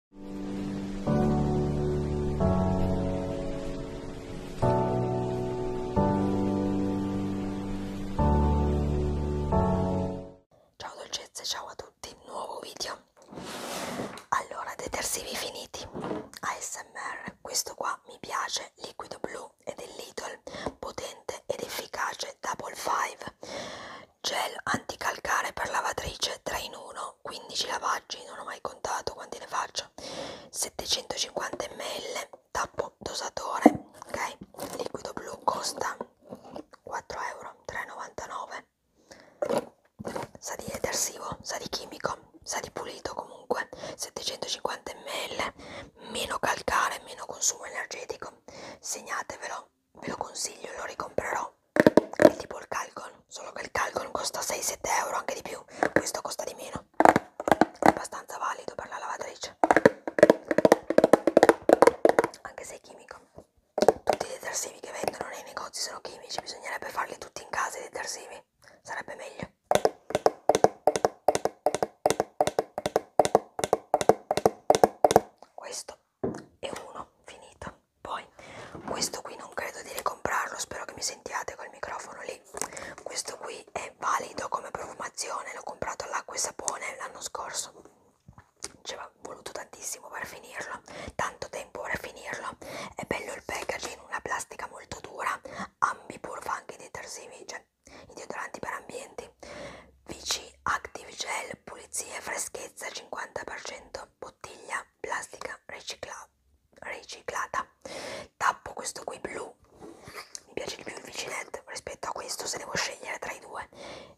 Ciao dolcezze, ciao a tutti, nuovo video. Allora, detersivi finiti. ASMR, questo qua mi piace, liquido blu ed è Lidl, potente ed efficace, Double 5 gel anticalcare per lavatrice 3 in 1 15 lavaggi non ho mai contato quanti ne faccio 750 ml tappo dosatore ok liquido blu costa 4 euro 3,99 sa di detersivo sa di chimico sa di pulito comunque 750 ml meno calcare meno consumo energetico segnatevelo ve lo consiglio, lo ricomprerò. È tipo il Calcon, solo che il Calcon costa 6-7 euro, anche di più. Questo costa di meno. È abbastanza valido per la lavatrice. Anche se è chimico. Tutti i detersivi che vendono nei negozi sono chimici, bisognerebbe farli tutti in casa i detersivi. Sarebbe meglio. Questo è uno finito. Poi, questo qui non credo di ricomprarlo, spero che mi sentiate col microfono lì. Questo qui è valido come profumazione, l'ho comprato all'acqua e sapone l'anno scorso. Ci aveva voluto tantissimo per finirlo, tanto tempo per finirlo. È bello il packaging, una plastica molto dura, ambipur fa anche i detersivi, cioè i deodoranti per ambienti. VC Active Gel, pulizia e freschezza 50% bottiglia plastica ricicla riciclata tappo questo qui blu mi piace di più il vicinetto rispetto a questo se devo scegliere tra i due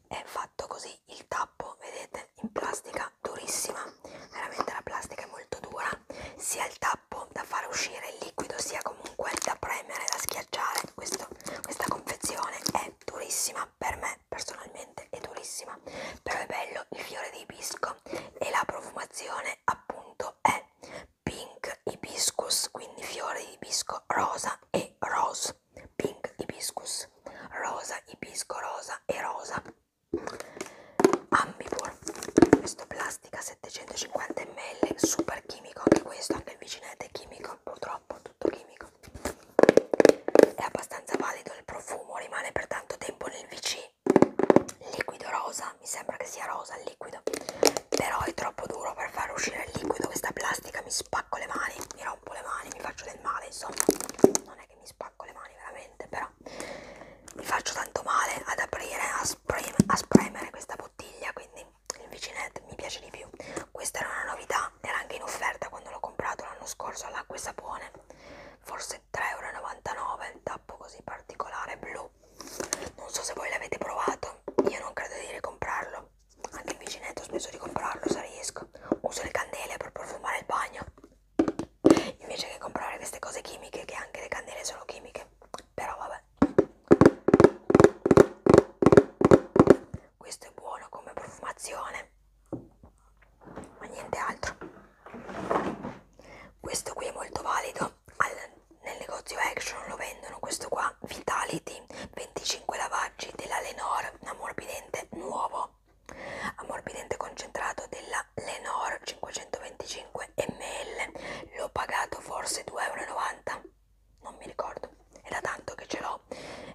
è fatto così il tappo vedete in plastica durissima veramente la plastica è molto dura sia il tappo da fare uscire il liquido sia comunque da premere da schiacciare questo, questa confezione è durissima per me me personalmente è durissima, però è bello il fiore di ibisco e la profumazione appunto è pink hibiscus, quindi fiore di ibisco rosa e rose, pink hibiscus, rosa, ibisco rosa e rosa. Ambipur, questo plastica 750 ml, super chimico anche questo, anche il vicinetto è chimico, purtroppo tutto chimico è abbastanza valido il profumo, rimane per tanto tempo nel VC. Liquido rosa, mi sembra che sia rosa il liquido, però è troppo duro per far uscire il liquido. Questa plastica mi spacco le mani, mi rompo le mani, mi faccio del male. Insomma, non è che mi spacco le mani veramente, però mi faccio tanto male ad aprire, a, sprem a spremere questa bottiglia. Quindi il Vicinet mi piace di più. Questa era una novità, era anche in offerta quando l'ho comprato l'anno scorso all'acqua e sapone. Forse fosse 3,99€ il tappo così particolare blu non so se voi l'avete provato io non credo di ricomprarlo anche il vicinetto ho smesso di comprarlo se riesco uso le candele per profumare il bagno invece che comprare queste cose chimiche che anche le candele sono chimiche però vabbè questo è buono come profumazione ma niente altro questo qui è molto valido Al, nel negozio action lo vendono questo qua vitality 25 lavaggi della lenor ammorbidente nuovo ammorbidente concentrato della lenor 525 ml l'ho pagato forse 2,90 euro non mi ricordo è da tanto che ce l'ho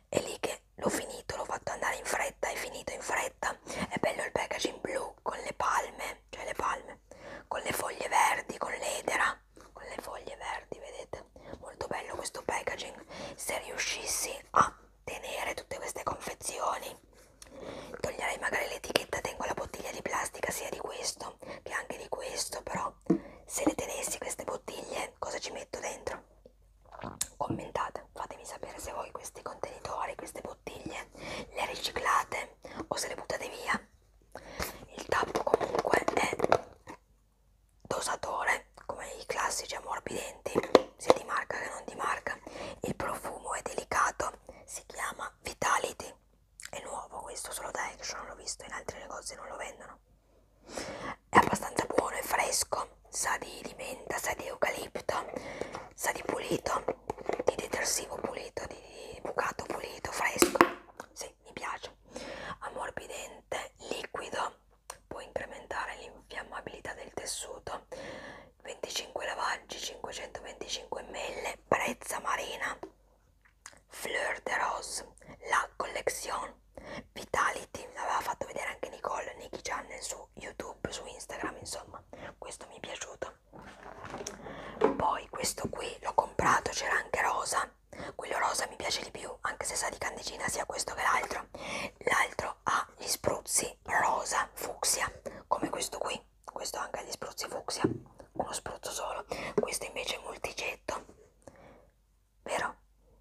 è lì che l'ho finito, l'ho fatto andare in fretta, è finito in fretta, è bello il packaging blu con le palme, cioè le palme, con le foglie verdi, con l'edera, con le foglie verdi, vedete? Molto bello questo packaging, se riuscissi a tenere tutte queste confezioni, toglierei magari l'etichetta, tengo la bottiglia di plastica sia di questo che anche di questo, però se le tenessi queste bottiglie cosa ci metto dentro? commentate fatemi sapere se voi questi contenitori queste bottiglie le riciclate o se le buttate via il tappo comunque è dosatore come i classici ammorbidenti sia di marca che non di marca il profumo è delicato si chiama Vitality è nuovo questo solo da Action l'ho visto in altri negozi non lo vendono è abbastanza buono e fresco sa di, di menta, sa di eucalipto, sa di pulito, di detersivo pulito, di, di bucato pulito, fresco, sì, mi piace, ammorbidente, liquido, può incrementare l'infiammabilità del tessuto, 25 lavaggi, 525 ml, prezza marina, fleur de rose, la collection, vitality, l'aveva fatto vedere anche Nicole, Nicky Gian nel suo su YouTube, su Instagram, insomma, questo mi è piaciuto. Poi questo qui l'ho comprato, c'era anche rosa, quello rosa mi piace di più, anche se sa di candicina sia questo che l'altro. L'altro ha gli spruzzi rosa fucsia, come questo qui, questo anche ha gli spruzzi fucsia, uno spruzzo solo. Questo invece è multigetto, vero?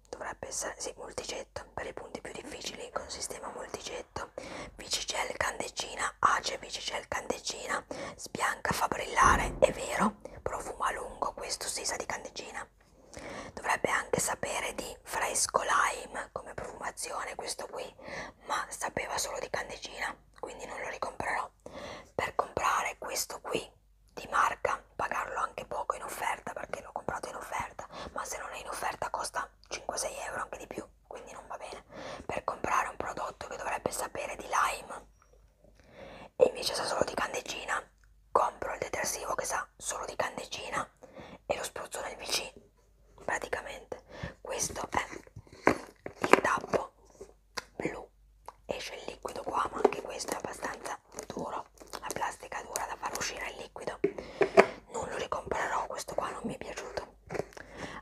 Dovrebbe essere, sì, multigetto, per i punti più difficili con sistema multigetto Vicigel Candecina, Ace Vicigel Candecina, sbianca, fa brillare, è vero, profumo a lungo, questo si sa di Candecina. Dovrebbe anche sapere di fresco lime come profumazione questo qui, ma sapeva solo di Candecina, quindi non lo ricomprerò. Per comprare questo qui di marca, pagarlo anche poco in offerta perché l'ho comprato in offerta, ma se non è in offerta costa 5-6 euro anche di più quindi non va bene per comprare un prodotto che dovrebbe sapere di lime e invece sa solo di candeggina compro il detersivo che sa solo di candeggina e lo spruzzo nel vicino praticamente questo è il tappo blu esce il liquido qua ma anche questo è abbastanza duro la plastica è dura da far uscire il liquido non lo ricomprerò questo qua non mi è piaciuto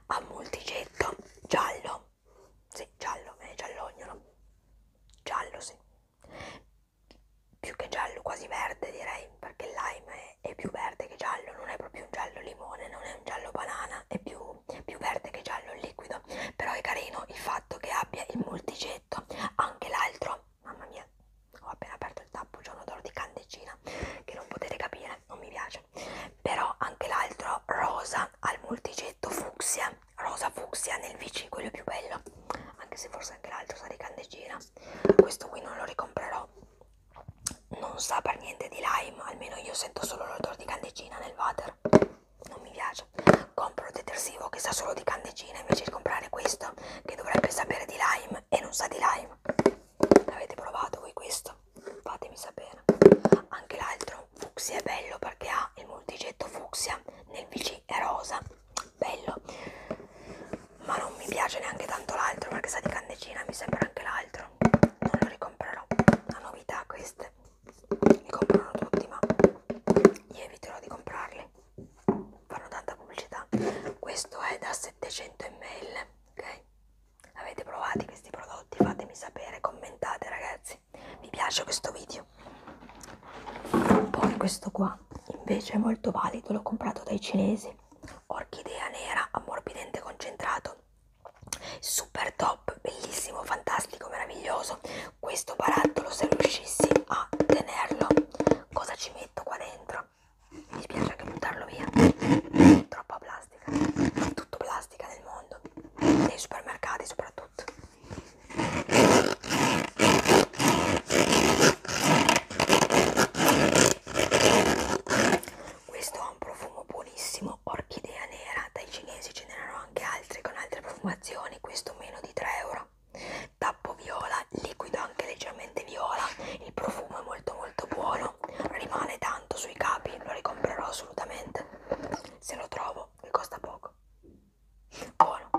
a multigetto giallo sì, giallo, è giallognolo giallo sì più che giallo quasi verde direi perché il lime è, è più verde che giallo non è proprio un giallo limone non è un giallo banana è più, più verde che giallo liquido però è carino il fatto che abbia il multigetto anche l'altro mamma mia piace ho appena aperto il tappo giorno d'oro di candecina che non potete capire non mi piace però anche l'altro rosa al multicetto fucsia rosa fucsia nel vc quello più bello anche se forse anche l'altro sa di candecina questo qui non lo ricomprerò non sa per niente di lime almeno io sento solo l'odore di candecina nel water non mi piace compro detersivo che sa solo di candecina invece di comprare questo che dovrebbe sapere di lime e non sa di lime L'avete provato voi questo? Fatemi sapere. Anche l'altro fucsia è bello perché ha il multigetto fucsia, nel VC è rosa, bello. Ma non mi piace neanche tanto l'altro perché sa di candecina, mi sembra anche l'altro. Non lo ricomprerò. La novità queste. Li comprano tutti, ma io eviterò di comprarli. Fanno tanta pubblicità. Questo è da 700 ml ok? Avete provato questi prodotti? Fatemi sapere, commentate ragazzi. Vi piace questo video? Poi questo qua invece è molto valido, l'ho comprato dai cinesi. Orchidea nera, ammorbidente concentrato. Super top, bellissimo, fantastico, meraviglioso. Questo barattolo se riuscissi a tenerlo, cosa ci metto qua dentro? ma mi spiace anche buttarlo via. Troppa plastica, tutto plastica nel mondo, nei supermercati soprattutto. Questo ha un profumo buonissimo, orchidea nera, dai cinesi ce n'erano anche altri con altre profumazioni, questo meno di 3 euro. Tappo viola liquido anche leggermente viola, il profumo è molto molto buono, rimane tanto sui capi, lo ricomprerò assolutamente, se lo trovo, che costa poco. Buono.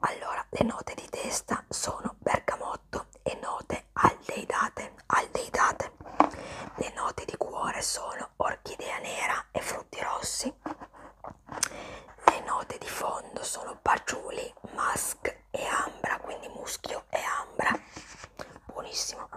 Allora, le note di testa sono bergamotto e note aldeidate, aldeidate. Le note di cuore sono orchidea nera e frutti rossi. Le note di fondo sono patchouli, musk e ambra, quindi muschio e ambra. Buonissimo.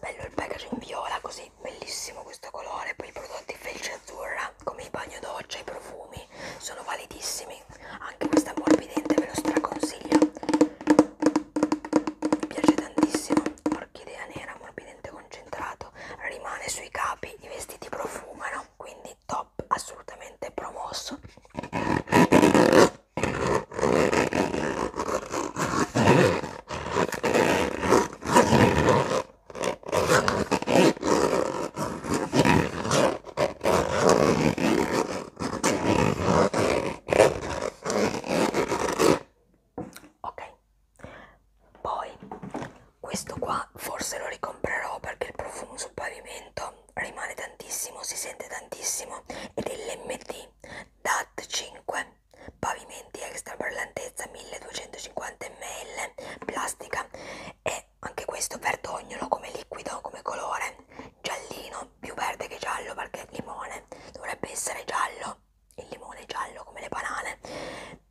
Bello il packaging viola, così bellissimo questo colore, poi i prodotti felce azzurra Ora, come i bagno doccia e i profumi sono validissimi, anche questa morbidente ve lo straconsiglio. Mi piace tantissimo, orchidea nera, morbidente concentrato, rimane sui capi, i vestiti profumano, quindi top, assolutamente promosso. Ok, poi questo qua forse lo ricomprerò perché il profumo sul pavimento rimane tantissimo, si sente tantissimo ed è l'MD DAT 5 pavimenti extra per lentezza 1250 ml plastica e anche questo verdognolo come liquido, come colore, giallino, più verde che giallo perché è limone, dovrebbe essere giallo, il limone è giallo come le banane,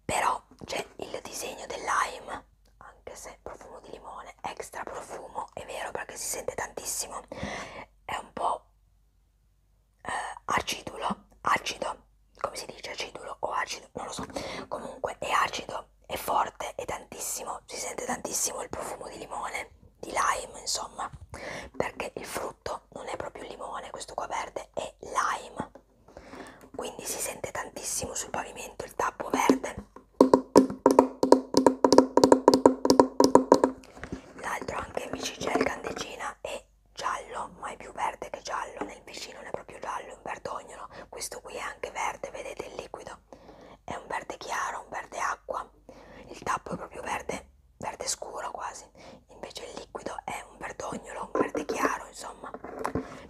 però c'è il disegno del lime, anche se profumo di limone, extra profumo, è vero perché si sente tantissimo, è un po' eh, acidulo, acido, come si dice acidulo o acido, non lo so, comunque è acido, è forte, è tantissimo, si sente tantissimo il profumo di limone, di lime insomma, perché il frutto non è proprio limone, questo qua verde è lime, quindi si sente tantissimo sul pavimento il tappo verde. L'altro anche invece c'è il candecina è giallo, ma è più verde che giallo, nel vicino non è proprio giallo, è un verdognolo, questo qui è anche verde vedete il liquido è un verde chiaro un verde acqua il tappo è proprio verde verde scuro quasi invece il liquido è un verdognolo un verde chiaro insomma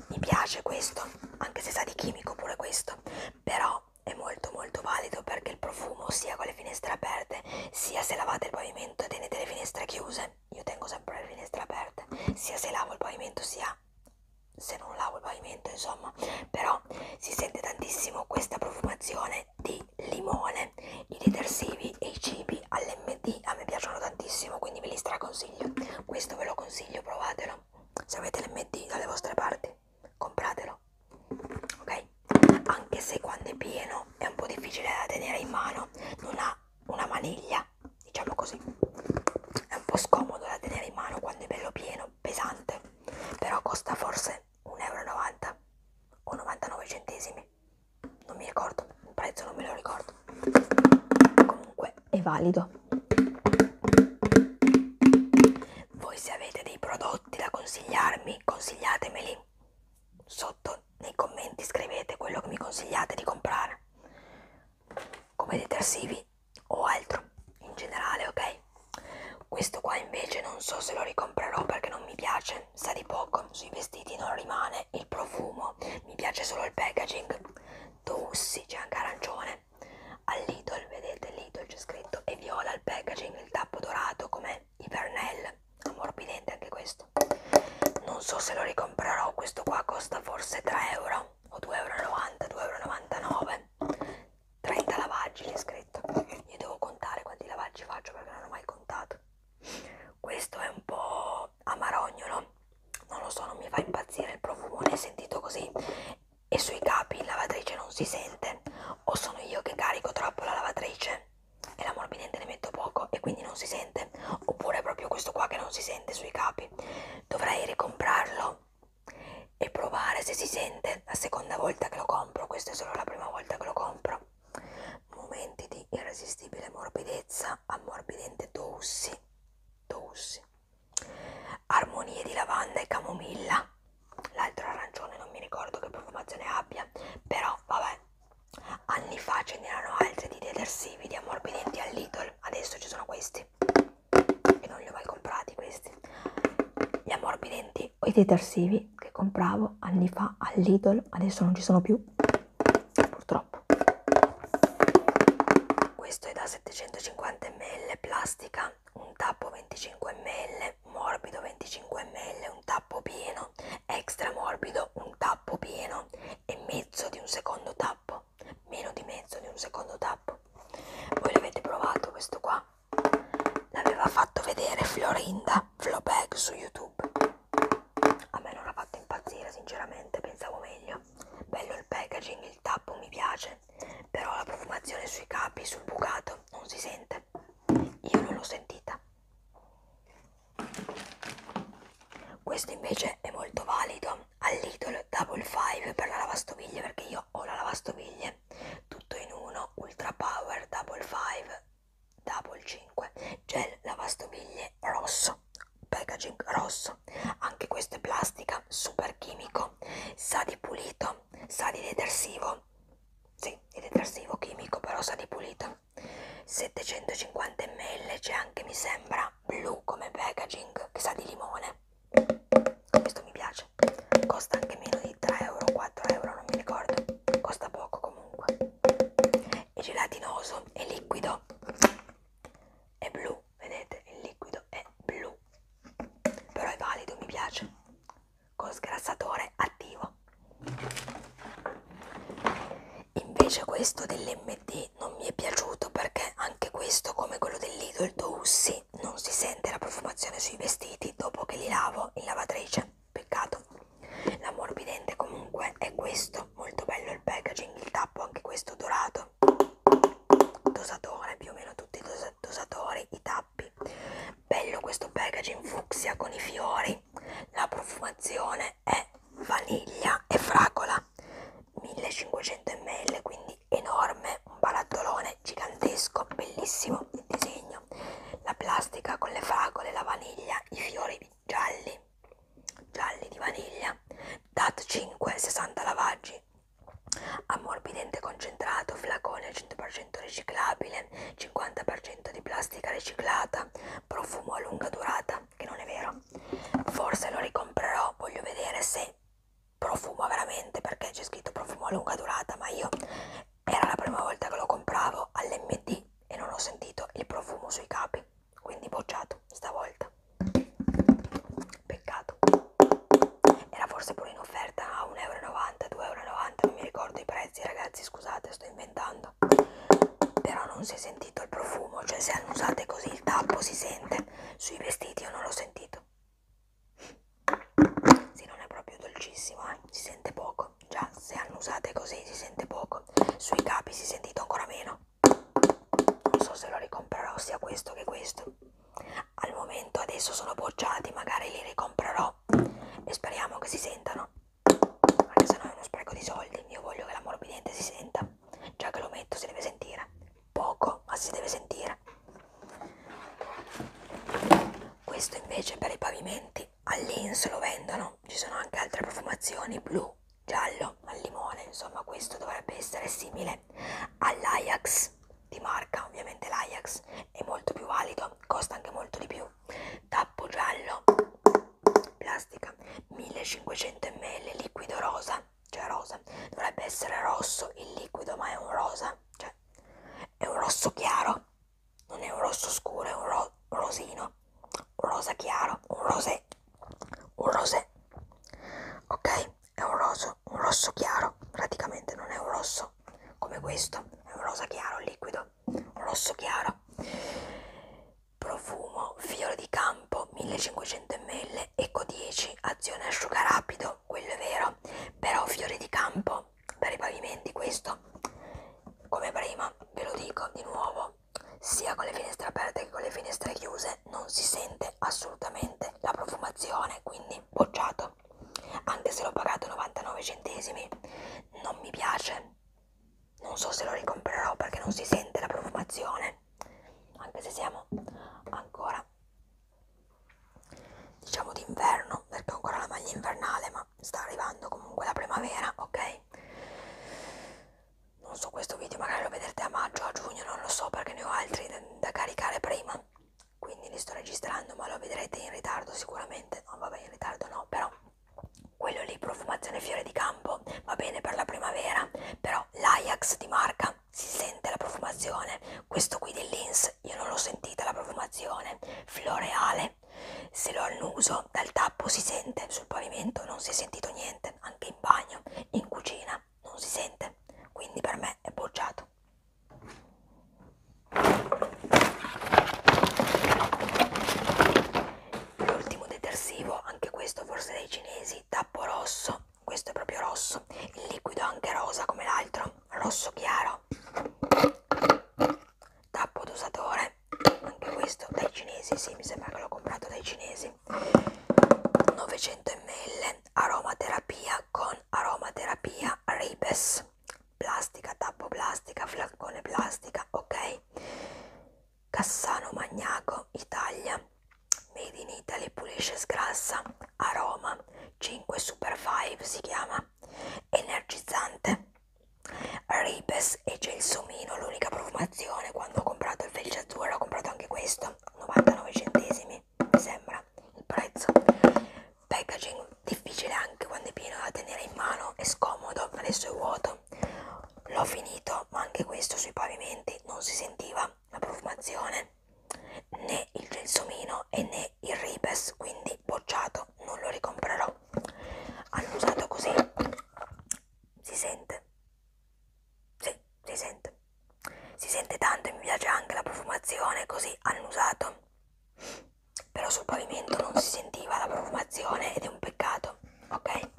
mi piace questo anche se sa di chimico pure questo però è molto molto valido perché il profumo sia con le finestre aperte sia se lavate il pavimento e tenete le finestre chiuse io tengo sempre le finestre aperte sia se lavo il pavimento sia se non lavo il pavimento insomma però si sente tantissimo questa profumazione di limone i detersivi e i cibi all'MD a me piacciono tantissimo quindi ve li straconsiglio questo ve lo consiglio provatelo se avete l'MD dalle vostre parti compratelo ok anche se quando è pieno è un po' difficile da tenere in mano non ha una maniglia diciamo così è un po' scomodo da tenere in mano quando è bello pieno pesante però costa forse 1,90 euro o 99 centesimi non mi ricordo il prezzo non me lo ricordo comunque è valido voi se avete dei prodotti da consigliarmi consigliatemeli sotto nei commenti scrivete quello che mi consigliate di comprare come detersivi o altro in generale, ok? Questo qua invece non so se lo ricomprerò perché non mi piace, sa di poco, sui vestiti non rimane il profumo, mi piace solo il packaging. Tossi, c'è anche arancione. All'Idol, vedete, l'Idol c'è scritto e viola il packaging, il tappo dorato come Ivernel, ammorbidente anche questo. Non so se lo ricomprerò, questo qua costa forse 3 euro o 2,90 2,99 euro 30 lavaggi c'è scritto io devo contare quanti lavaggi faccio perché non ho mai contato questo è un po' amarognolo non lo so non mi fa impazzire il profumo l'ho sentito così e sui capi la lavatrice non si sente o sono io che carico troppo la lavatrice e la morbidente ne metto poco e quindi non si sente sente oppure proprio questo qua che non si sente sui capi dovrei ricomprarlo e provare se si sente la seconda volta che lo compro questa è solo la prima volta che lo compro momenti di irresistibile morbidezza ammorbidente doussi doussi armonie di lavanda e camomilla l'altro arancione non mi ricordo che profumazione abbia però vabbè anni fa ce n'erano altri di detersivi di ammorbidenti al Lidl adesso ci sono questi e non li ho mai comprati questi gli ammorbidenti o i detersivi che compravo anni fa all'Idol adesso non ci sono più purtroppo questo è da 750 ml plastica un tappo 25 ml morbido 25 ml un tappo pieno extra morbido un tappo pieno e mezzo di un secondo tappo meno di mezzo di un secondo tappo voi l'avete provato questo qua l'aveva fatto vedere Florinda Flobag su youtube a me non l'ha fatto impazzire sinceramente pensavo meglio bello il packaging il tappo mi piace però la profumazione sui capi sul bucato non si sente io non l'ho sentita questo invece è molto valido all'idol il double 5 per la lavastoviglie perché io ho la lavastoviglie tutto in uno ultra power double 5 double 5 gel lavastoviglie rosso packaging rosso anche questo è plastica super chimico sa di pulito sa di detersivo sì di detersivo chimico però sa di pulito 750 ml c'è anche mi sembra era blu come packaging che sa di limone questo mi piace costa anche meno di 3 euro 4 euro non mi ricordo costa poco comunque è gelatinoso è liquido è blu vedete il liquido è blu però è valido mi piace con sgrassatore attivo invece questo dell'MD mi, non mi è piaciuto perché anche questo, come quello del Lido, il Doussi, non si sente la profumazione sui vestiti dopo che li lavo in lavatrice. Peccato. L'ammorbidente comunque è questo, molto bello il packaging, il tappo anche questo dorato. Dosatore, più o meno tutti i dos dosatori, i tappi. Bello questo packaging fucsia con i fiori. La profumazione è vaniglia e fragola. 1500 ml quindi enorme un barattolone gigantesco bellissimo il disegno la plastica con le fragole la vaniglia i fiori gialli gialli di vaniglia dat 5 60 lavaggi ammorbidente concentrato flacone 100% riciclabile 50% di plastica riciclata profumo a lunga durata che non è vero forse lo ricomprerò voglio vedere se profumo veramente perché c'è scritto profumo a lunga durata ma io era la prima volta che lo compravo all'MD e non ho sentito il profumo sui capi quindi bocciato stavolta peccato era forse pure in offerta a 1,90 2,90 non mi ricordo i prezzi ragazzi scusate sto inventando però non si è sentito il profumo cioè se hanno usate così il tappo si sente niente sui vestiti io non l'ho sentito sì non è proprio dolcissimo eh? si sente poco già se hanno usate così si sente poco sui capi si è sentito ancora meno non so se lo ricomprerò sia questo che questo al momento adesso sono bocciati magari li ricomprerò e speriamo che si sentano anche se no è uno spreco di soldi io voglio che la morbidente si senta Già che lo metto si deve sentire. Poco, ma si deve sentire. Questo invece per i pavimenti all'ins lo vendono. Ci sono anche altre profumazioni, blu, giallo, al limone. Insomma, questo dovrebbe essere simile all'Ajax di marca. Ovviamente l'Ajax è molto più valido, costa anche molto di più. Tappo giallo, plastica, 1500 ml, liquido rosa cioè rosa, dovrebbe essere rosso il liquido, ma è un rosa, cioè è un rosso chiaro, non è un rosso scuro, è un ro rosino, un rosa chiaro, un rosé, un rosé, ok? È un rosso, un rosso chiaro, praticamente non è un rosso come questo, è un rosa chiaro, liquido, un rosso chiaro. Profumo, fiore di campo shampoo 1500 ml eco 10 azione asciuga rapido quello è vero però fiore di campo per i pavimenti questo come prima ve lo dico di nuovo sia con le finestre aperte che con le finestre chiuse non si sente assolutamente la profumazione quindi bocciato anche se l'ho pagato 99 centesimi non mi piace non so se lo ricomprerò perché non si sente la profumazione anche se siamo ancora ancora diciamo d'inverno perché ho ancora la maglia invernale ma sta arrivando comunque la primavera ok non so questo video magari lo vedrete a maggio a giugno non lo so perché ne ho altri da, da caricare prima quindi li sto registrando ma lo vedrete in ritardo sicuramente no vabbè in ritardo no però quello lì profumazione fiore di campo va bene per la primavera però l'Ajax di marca si sente la profumazione, questo qui dell'Ins io non l'ho sentita la profumazione, floreale, se lo annuso dal tappo si sente, sul pavimento non si è sentito niente, anche in bagno, in cucina non si sente, quindi per me è bocciato. L'ultimo detersivo, anche questo forse dei cinesi, tappo rosso questo è proprio rosso il liquido anche rosa come l'altro rosso chiaro tappo d'usatore anche questo dai cinesi sì mi sembra che l'ho comprato dai cinesi 900 ml aromaterapia con aromaterapia ribes plastica tappo plastica flaccone plastica ok Cassano Magnaco Italia Made in Italy pulisce e sgrassa, aroma 5 Super 5 si chiama, energizzante. Ribes e gelsomino, l'unica profumazione, quando ho comprato il felce azzurro ho comprato anche questo, 99 centesimi, mi sembra il prezzo. Packaging difficile anche quando è pieno da tenere in mano, è scomodo, adesso è vuoto. L'ho finito, ma anche questo sui pavimenti non si sentiva la profumazione né, né il gelsomino e né il ribes quindi bocciato non lo ricomprerò hanno usato così si sente sì, si sente si sente tanto e mi piace anche la profumazione così hanno usato però sul pavimento non si sentiva la profumazione ed è un peccato ok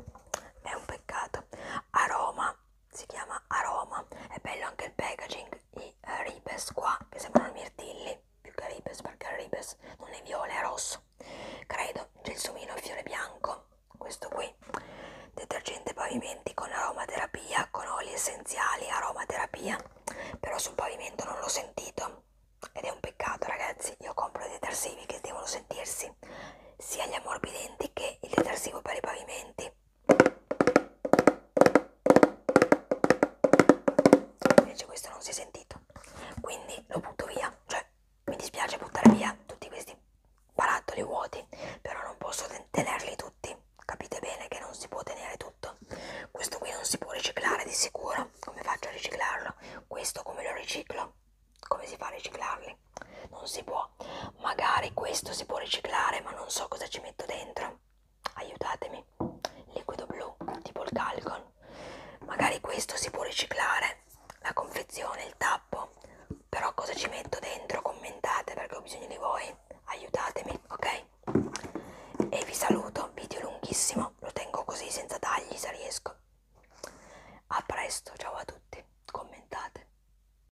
è un peccato aroma si chiama Aroma, è bello anche il packaging, i eh, ribes qua che sembrano mirtilli, più che ribes perché il ribes non è viola, è rosso, credo, gelsomino e fiore bianco, questo qui, detergente pavimenti con aromaterapia, con oli essenziali, aromaterapia, però sul pavimento non l'ho sentito ed è un peccato ragazzi, io compro i detersivi che devono sentirsi, sia gli ammorbidenti che il detersivo per i pavimenti invece questo non si è sentito quindi lo butto via cioè mi dispiace buttare via tutti questi barattoli vuoti però non posso tenerli tutti capite bene che non si può tenere tutto questo qui non si può riciclare di sicuro come faccio a riciclarlo questo come lo riciclo come si fa a riciclarli non si può. Magari questo si può riciclare, ma non so cosa ci metto dentro. Aiutatemi. Liquido blu, tipo il calcon. Magari questo si può riciclare, la confezione, il tappo. Però cosa ci metto dentro? Commentate perché ho bisogno di voi. Aiutatemi, ok? E vi saluto, video lunghissimo, lo tengo così senza tagli se riesco. A presto, ciao a tutti, commentate.